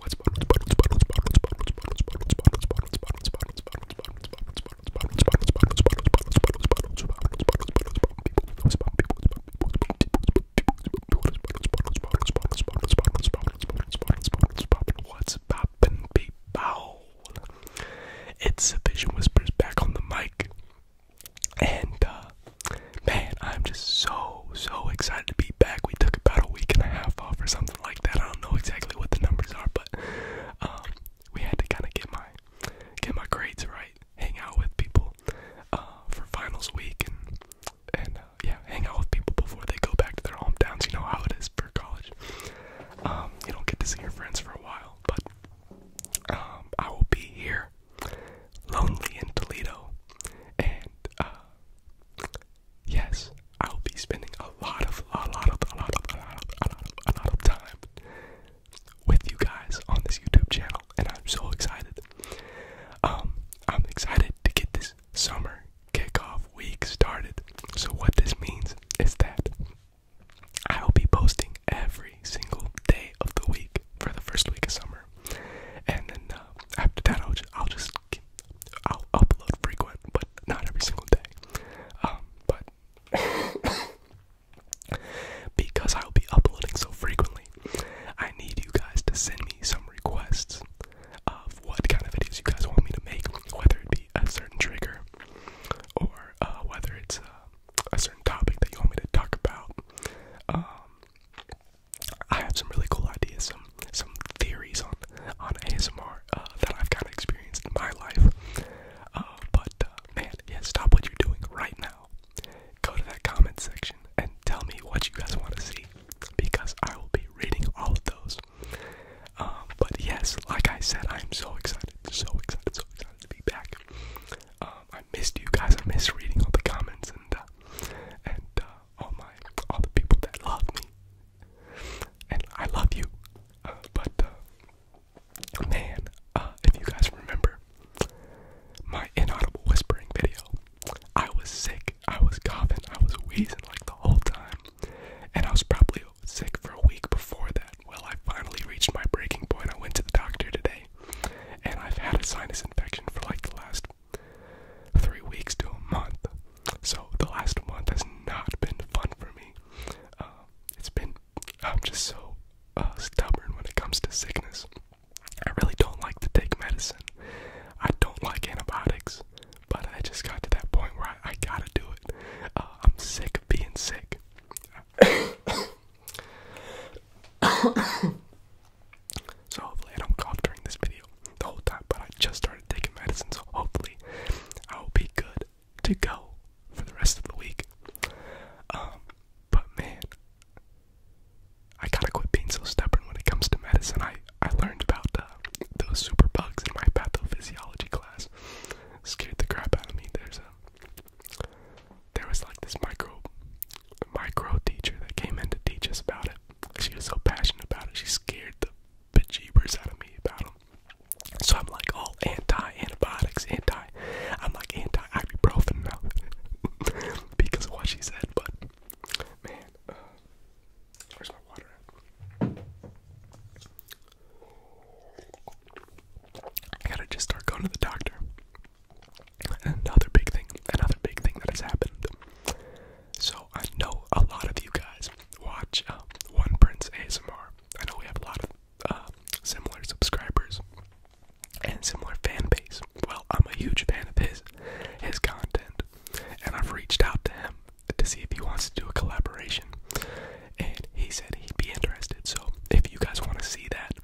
What's poppin' people? It's Vision Whispers back on the mic. And uh, man, I'm just so so excited to be back. We took about a week and a half off or something like that. I don't know exactly what the numbers are, but um, we had to kind of get my get my grades right, hang out with people uh, for finals week and uh, yeah, hang out with people before they go back to their hometowns. You know how it is for college. Um, you don't get to see your friends for a while, but um, I will be here, lonely in Toledo, and uh, yes, I will be spending a lot of, a lot of, a lot of, a lot of, a lot of, a lot of time with you guys on this YouTube channel, and I'm so excited. Um, I'm excited to get this summer kickoff week started. So what this means is that I will be posting every single day of the week for the first week of summer, and then uh, after that, I'll just, I'll upload frequent, but not every single day. Um, but because I'll be uploading so frequently, I need you guys to send me some requests of what kind of videos you guys want me to make, whether it be a certain trigger, or uh, whether it's uh, a certain topic that you want me to talk about. Um, I have some really cool ideas, some some theories on on ASMR uh, that I've kind of experienced in my life. but man, yeah, stop what you're doing right now. Go to that comment section and tell me what you guys want to see, because I will be reading all of those. Uh, but yes, like I said, I'm so excited, so excited, so excited to be back. Um, I missed you guys. I missed reading all the comments and uh, and uh, all my all the people that love me. And I love you, but man, if you guys remember my inaudible whispering video, I was sick. I was coughing. I was wheezing like the whole time. And I was probably sick for a week before that. Well, I finally reached my breaking point. I went to the doctor today, and I've had a sinus infection for like the last three weeks to a month. So the last month has not been fun for me. Uh, it's been, I'm just so uh, stubborn when it comes to sickness. I really don't like to take medicine. I don't like antibiotics. But I just got to that point where I, gotta do it. Uh, I'm sick of being sick. so hopefully I don't cough during this video the whole time, but I just started taking medicine, so hopefully I will be good to go for the rest of the week. Um, but man, I gotta quit being so stubborn when it comes to medicine. I I learned about those super bugs in my pathophysiology class scared the crap out of me. There's a there was like this micro micro teacher that came in to teach us about it. She was so passionate about it. She scared the bejeebers out of me about them. So I'm like all anti antibiotics, anti. I'm like anti ibuprofen now because of what she said. But man, uh, Where's my water? I gotta just start going to the doctor. Another big thing, another big thing that has happened. So I know a lot of you guys watch uh, One Prince ASMR. I know we have a lot of uh, similar subscribers and similar fan base. Well, I'm a huge fan of his, his content, and I've reached out to him to see if he wants to do a collaboration. And he said he'd be interested. So if you guys want to see that,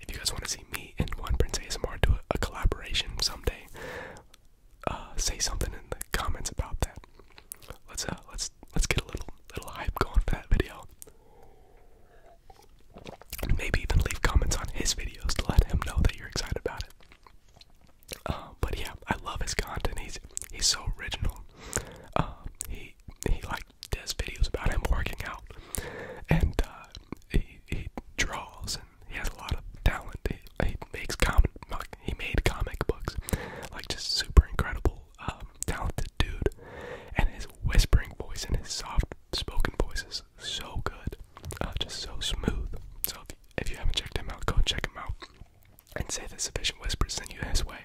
if you guys want to see me and One Prince ASMR do a, collaboration someday, uh, say something in the comments about that. Let's uh, let's let's get a little little hype going for that video. Maybe even leave comments on his videos to let him know that you're excited about it. Uh, but yeah, I love his content. He's he's so original. Uh, he he like does videos about him working out, and uh, he he draws and he has a lot of talent. He, he makes comic he made comic books, like just super incredible, um, talented dude. And his whispering voice and his soft spoken voice is so good, uh, just so smooth. So if you, if you haven't checked him out, go check him out and say that sufficient whispers in you his way.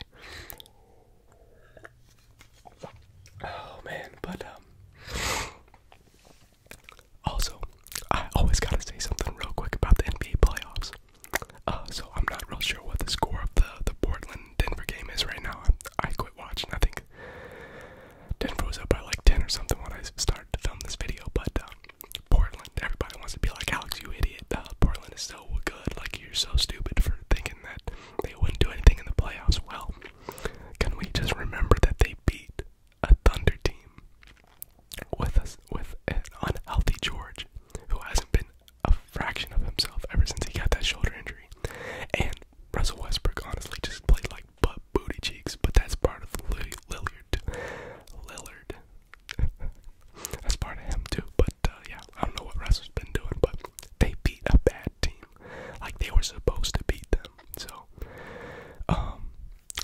Oh man, but um also I always gotta say something real quick about the NBA playoffs. Uh so I'm not real sure what the score of the the Portland Denver game is right now. I, quit watching. I think Denver was up by like ten or something when I started to film this video, but um Portland. Everybody wants to be like Alex, you idiot. Uh, Portland is still good. Like you're so stupid for thinking that they wouldn't do anything in the playoffs. Well, can we just remember that they beat a Thunder team with us with an unhealthy George who hasn't been a fraction of himself ever since he got that shoulder injury, and Russell Westbrook honestly just played like butt booty cheeks. But that's part of Lillard. Lillard. That's part of him too. But uh, yeah, I don't know what Russell's been doing, but they beat a bad team, like they were supposed to beat them. So, um,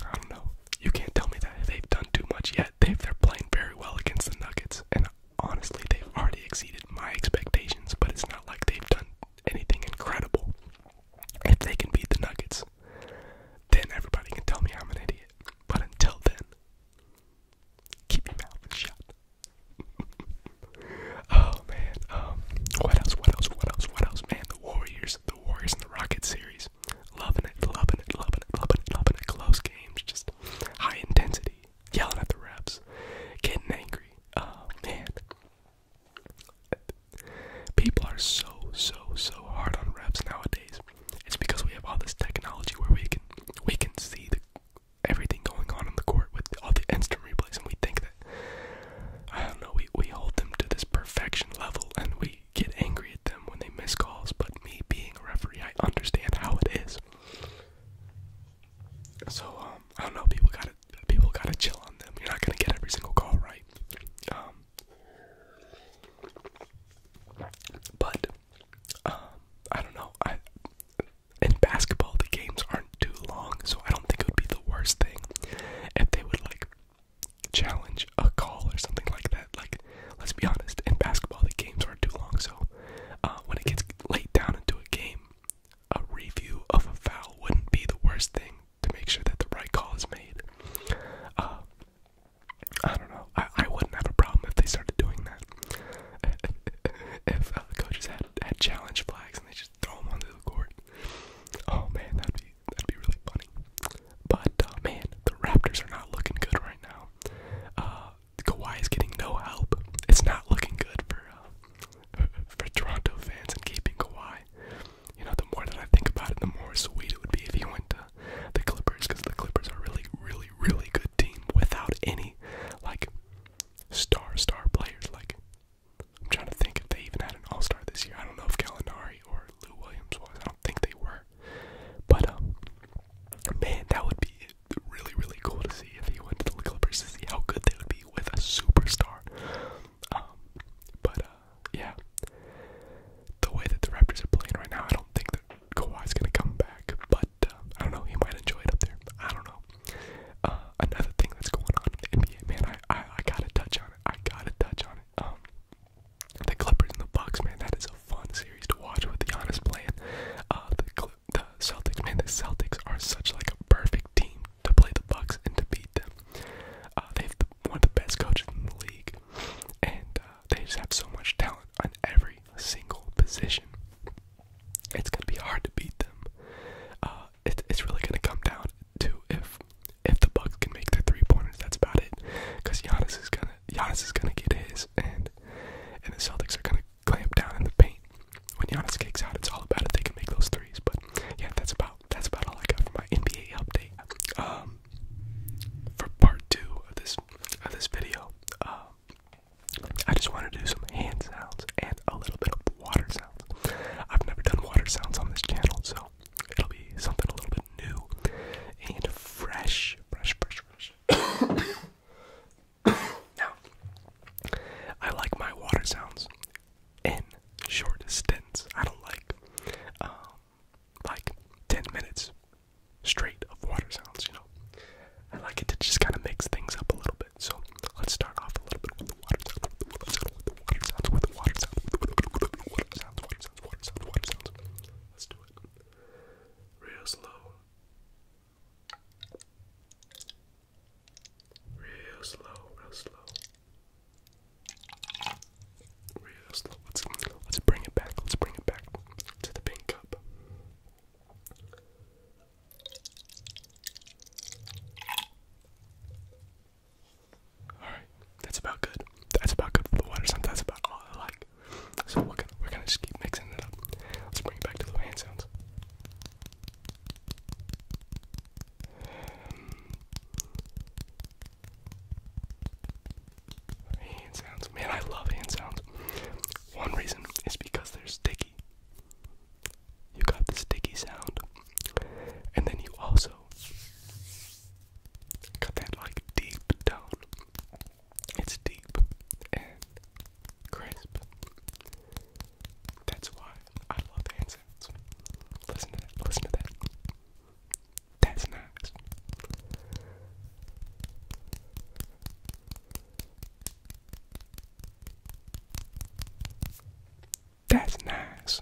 I don't know. You can't tell me that they've done too much yet. They've they're playing very well against the Nuggets, and honestly, they've already exceeded my expectations. But it's not like they've done anything incredible. If they can beat the Nuggets, then everybody can tell me I'm an idiot. But until then, keep your mouth shut. oh man, um, what else? What else? What else? What else? Man, the Warriors, the Warriors in the Rocket series, loving it, loving it, loving it, loving it, loving it. Close games, just high intensity, yelling at the reps, getting angry. Oh man, People are so so so hard on refs nowadays. It's because we have all this technology where we can we can see everything going on in the court with all the instant replays, and we think that I don't know. We we hold them to this perfection level, and we get angry at them when they miss calls. But me being a referee, I understand how it is. So um, I don't know. People gotta people gotta chill on them. You're not gonna get every single call right. Um, but um, I don't know. in basketball the games aren't too long, so I don't think it would be the worst thing if they would like challenge a call or something like that. Like, let's be honest, in basketball the games aren't too long, so uh, when it gets laid down into a game, a review of a foul wouldn't be the worst thing to make sure that the right call is made. Uh, I don't know. I, I wouldn't have a problem if they started doing that. if uh, coaches had had challenge flags and they just throw them onto the court. Oh man, that'd be that'd be really funny. But uh, man, the Raptors are not looking good right now. Kawhi is getting no help. It's not looking good for for Toronto fans and keeping Kawhi you know, the more that I think about it, the more sweet it would be if he went to the Clippers, because the Clippers are really, really, really good team without any like star star players. Like I'm trying to think if they even had an All Star this year. I don't know if Gallinari or Lou Williams was. I don't think they were. But um, man, that would be really, really cool to see if he went to the Clippers to see how good they would be with a superstar. Um, but uh, yeah, the way that the Raptors are playing right now, I don't think that is gonna come back. But uh, I don't know, he might enjoy it up there. I don't know. Uh, another thing that's going on in the NBA, man, I, I I gotta touch on it. I gotta touch on it. Um, the Clippers and the Bucks, man, that is a fun series to watch with Giannis playing. Uh, the the Celtics, man, the Celtics are such like a perfect team to play the Bucks and to beat them. Uh, they have the, one of the best coaches in the league, and uh, they just have so much talent on every single position. It's gonna be hard to beat them. Uh, it's really gonna come down to if if the Bucks can make their three pointers. That's about it, because Giannis is gonna Giannis is gonna get his, and and the Celtics are gonna clamp down in the paint. When Giannis kicks out, it's all about if they can make those threes. But yeah, that's about that's about all I got for my NBA update. Um, for part two of this of this video, um, I just want to do some hand sounds and a little bit of water sounds. I've never done water sounds on this channel, so it'll be something a little bit new and fresh, fresh, fresh, fresh. now, I like my water sounds in short stints. I don't like um, like ten minutes straight of water sounds. You know, I like it to just kind of mix things up a little bit. So let's start off a little bit with the water sounds. With the water sounds. With the water sounds. With the water sounds. Water sounds. Water sounds. Water sounds. Let's do it. Real slow. Real slow, real slow. Real slow. Let's bring it back. Let's bring it back to the pink cup. Alright, that's about good. That's about good the water. Sometimes that's about all I like. So we're gonna we're gonna just keep mixing it up. Let's bring it back to the hand sounds. Hand sounds. Man, I love hand sounds. One reason is because they're sticky. You got the sticky sound. And then you also got that like deep tone. It's deep and crisp. That's why I love hand sounds. Listen to that. Listen to that. That's nice. That's nice.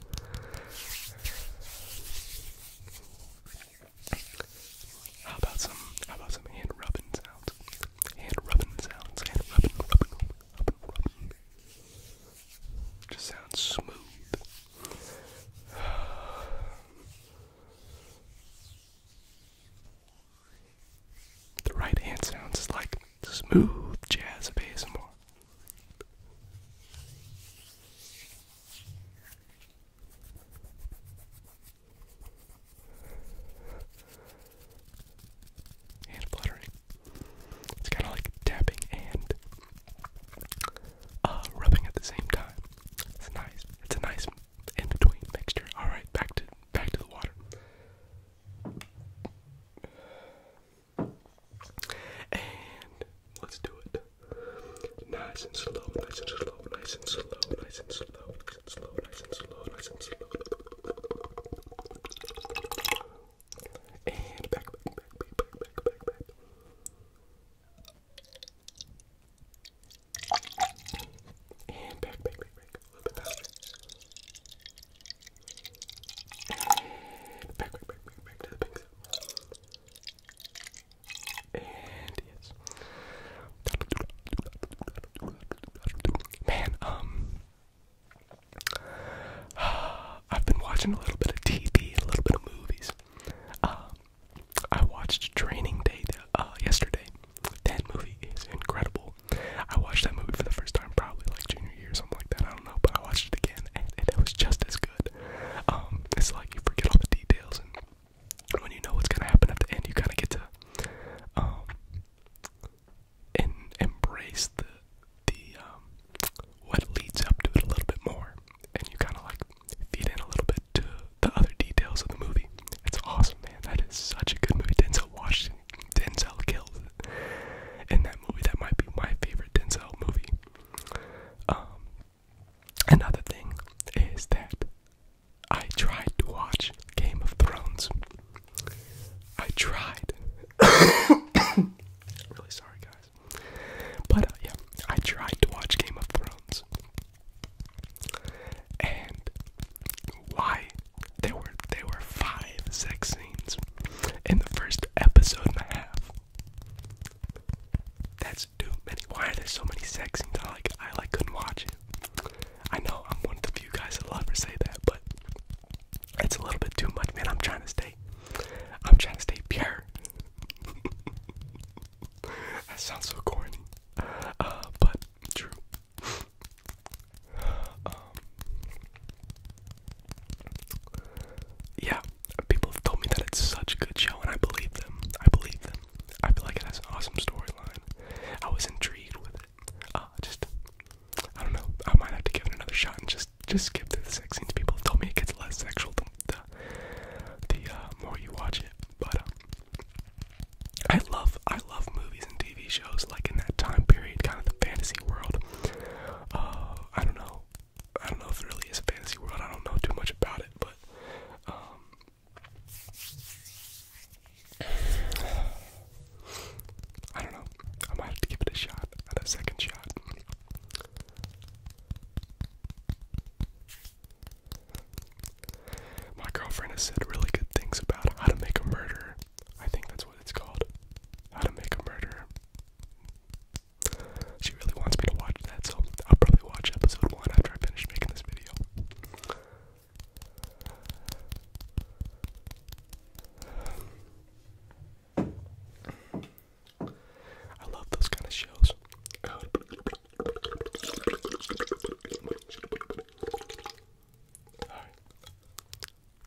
How about some how about some hand rubbing sounds? Hand rubbing sounds, hand rubbing, rubbing, rubbing, rubbing. Just sounds smooth. The right hand sounds like smooth jazz ASMR. Hand fluttering. It's kind of like tapping and uh, rubbing at the same time. It's nice. It's a nice in between mixture. All right, back to back to the water. And let's do it. Nice and slow, nice and slow, nice and slow, nice and slow, nice and slow, nice and slow, nice and slow. And back, back, back, back, back, back, back, back. And back, back, back, back. A little bit faster. Back, back, back, back, back to the pink And yes. Man, um I've been watching a little bit of TV, a little bit of movies. Um I watched Training Day uh, yesterday. That movie is incredible. I watched that movie for the first time probably like junior year or something like that. I don't know, but I watched it again and it was just as good. Um, it's like you forget all the details, and when you know what's gonna happen at the end, you kind of get to um, and embrace the the um, what leads up to it a little bit more, and you kind of like feed in a little bit to the other details of the movie. It's awesome, man. That is such a good movie. Denzel Washington Denzel kills in that movie. That might be my favorite Denzel movie. Um, another thing is that I tried to watch Game of Thrones. I tried. really sorry, guys. But uh, yeah, I tried to watch Game of Thrones. And why? There were there were five, six in the first episode and a half. That's too many. Why are there so many sex scenes? I like I like couldn't watch it. I know I'm one of the few guys that love to say that, but it's a little bit too much, man. I'm trying to stay. I'm trying to stay pure. that sounds so corny. Uh, but true. Um, yeah, people have told me that it's such a good show, and I believe them. I believe them. I feel like it has an awesome storyline. I was intrigued with it. Uh, just, I don't know. I might have to give it another shot and just just skip the sex scenes. People have told me it gets less sexual the the, uh, more you watch it. But um, I love I love movies movies TV shows like in that time period, kind of the fantasy world. Uh, I don't know. I don't know if it really is a fantasy world. I don't know too much about it, but um, I don't know. I might have to give it a shot, at a second shot. My girlfriend has said really good things about how to make a murder. I think that's what it's called. How to Make a Murderer. She really wants me to watch that, so I'll probably watch episode one after I finish making this video. I love those kind of shows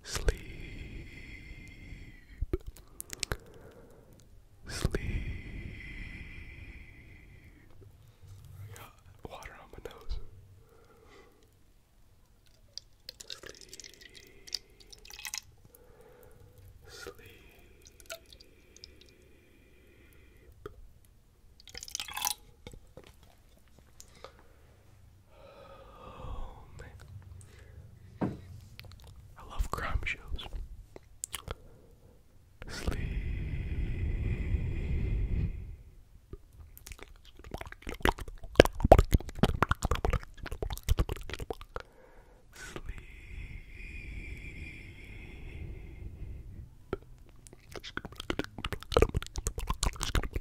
sleep, sleep. I got water on my nose. Sleep, sleep. Oh man. I love crime shows. Sleep. Sleep.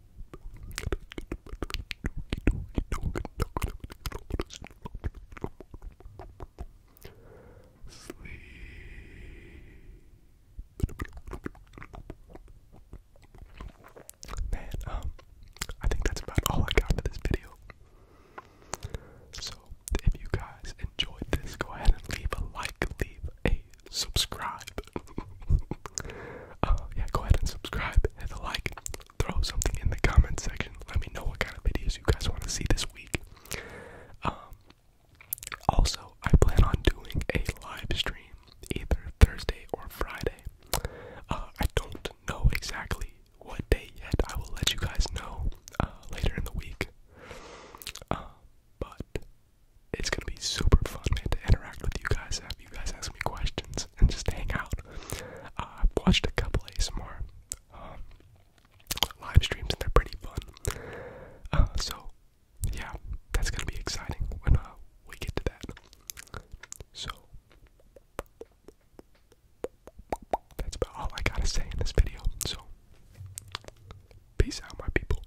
Sleep. Man, um, I think that's about all I got for this video. So, if you guys enjoyed this, go ahead and leave a like, leave a subscribe. Oh, yeah, go ahead and subscribe, hit the like, throw something in the comment section. Let me know what kind of videos you guys want to see this week. Um, also, I plan on doing a live stream either Thursday or Friday. Uh, I don't know exactly what day yet. I will let you guys know uh, later in the week. Uh, but it's gonna be super fun, man, to interact with you guys, have you guys ask me questions, and just hang out. Uh, I've watched a couple ASMR um, live streams, and they're pretty fun. Uh, so, yeah, that's gonna be exciting when uh, we get to that. So, that's about all I gotta say in this video. So, peace out, my people.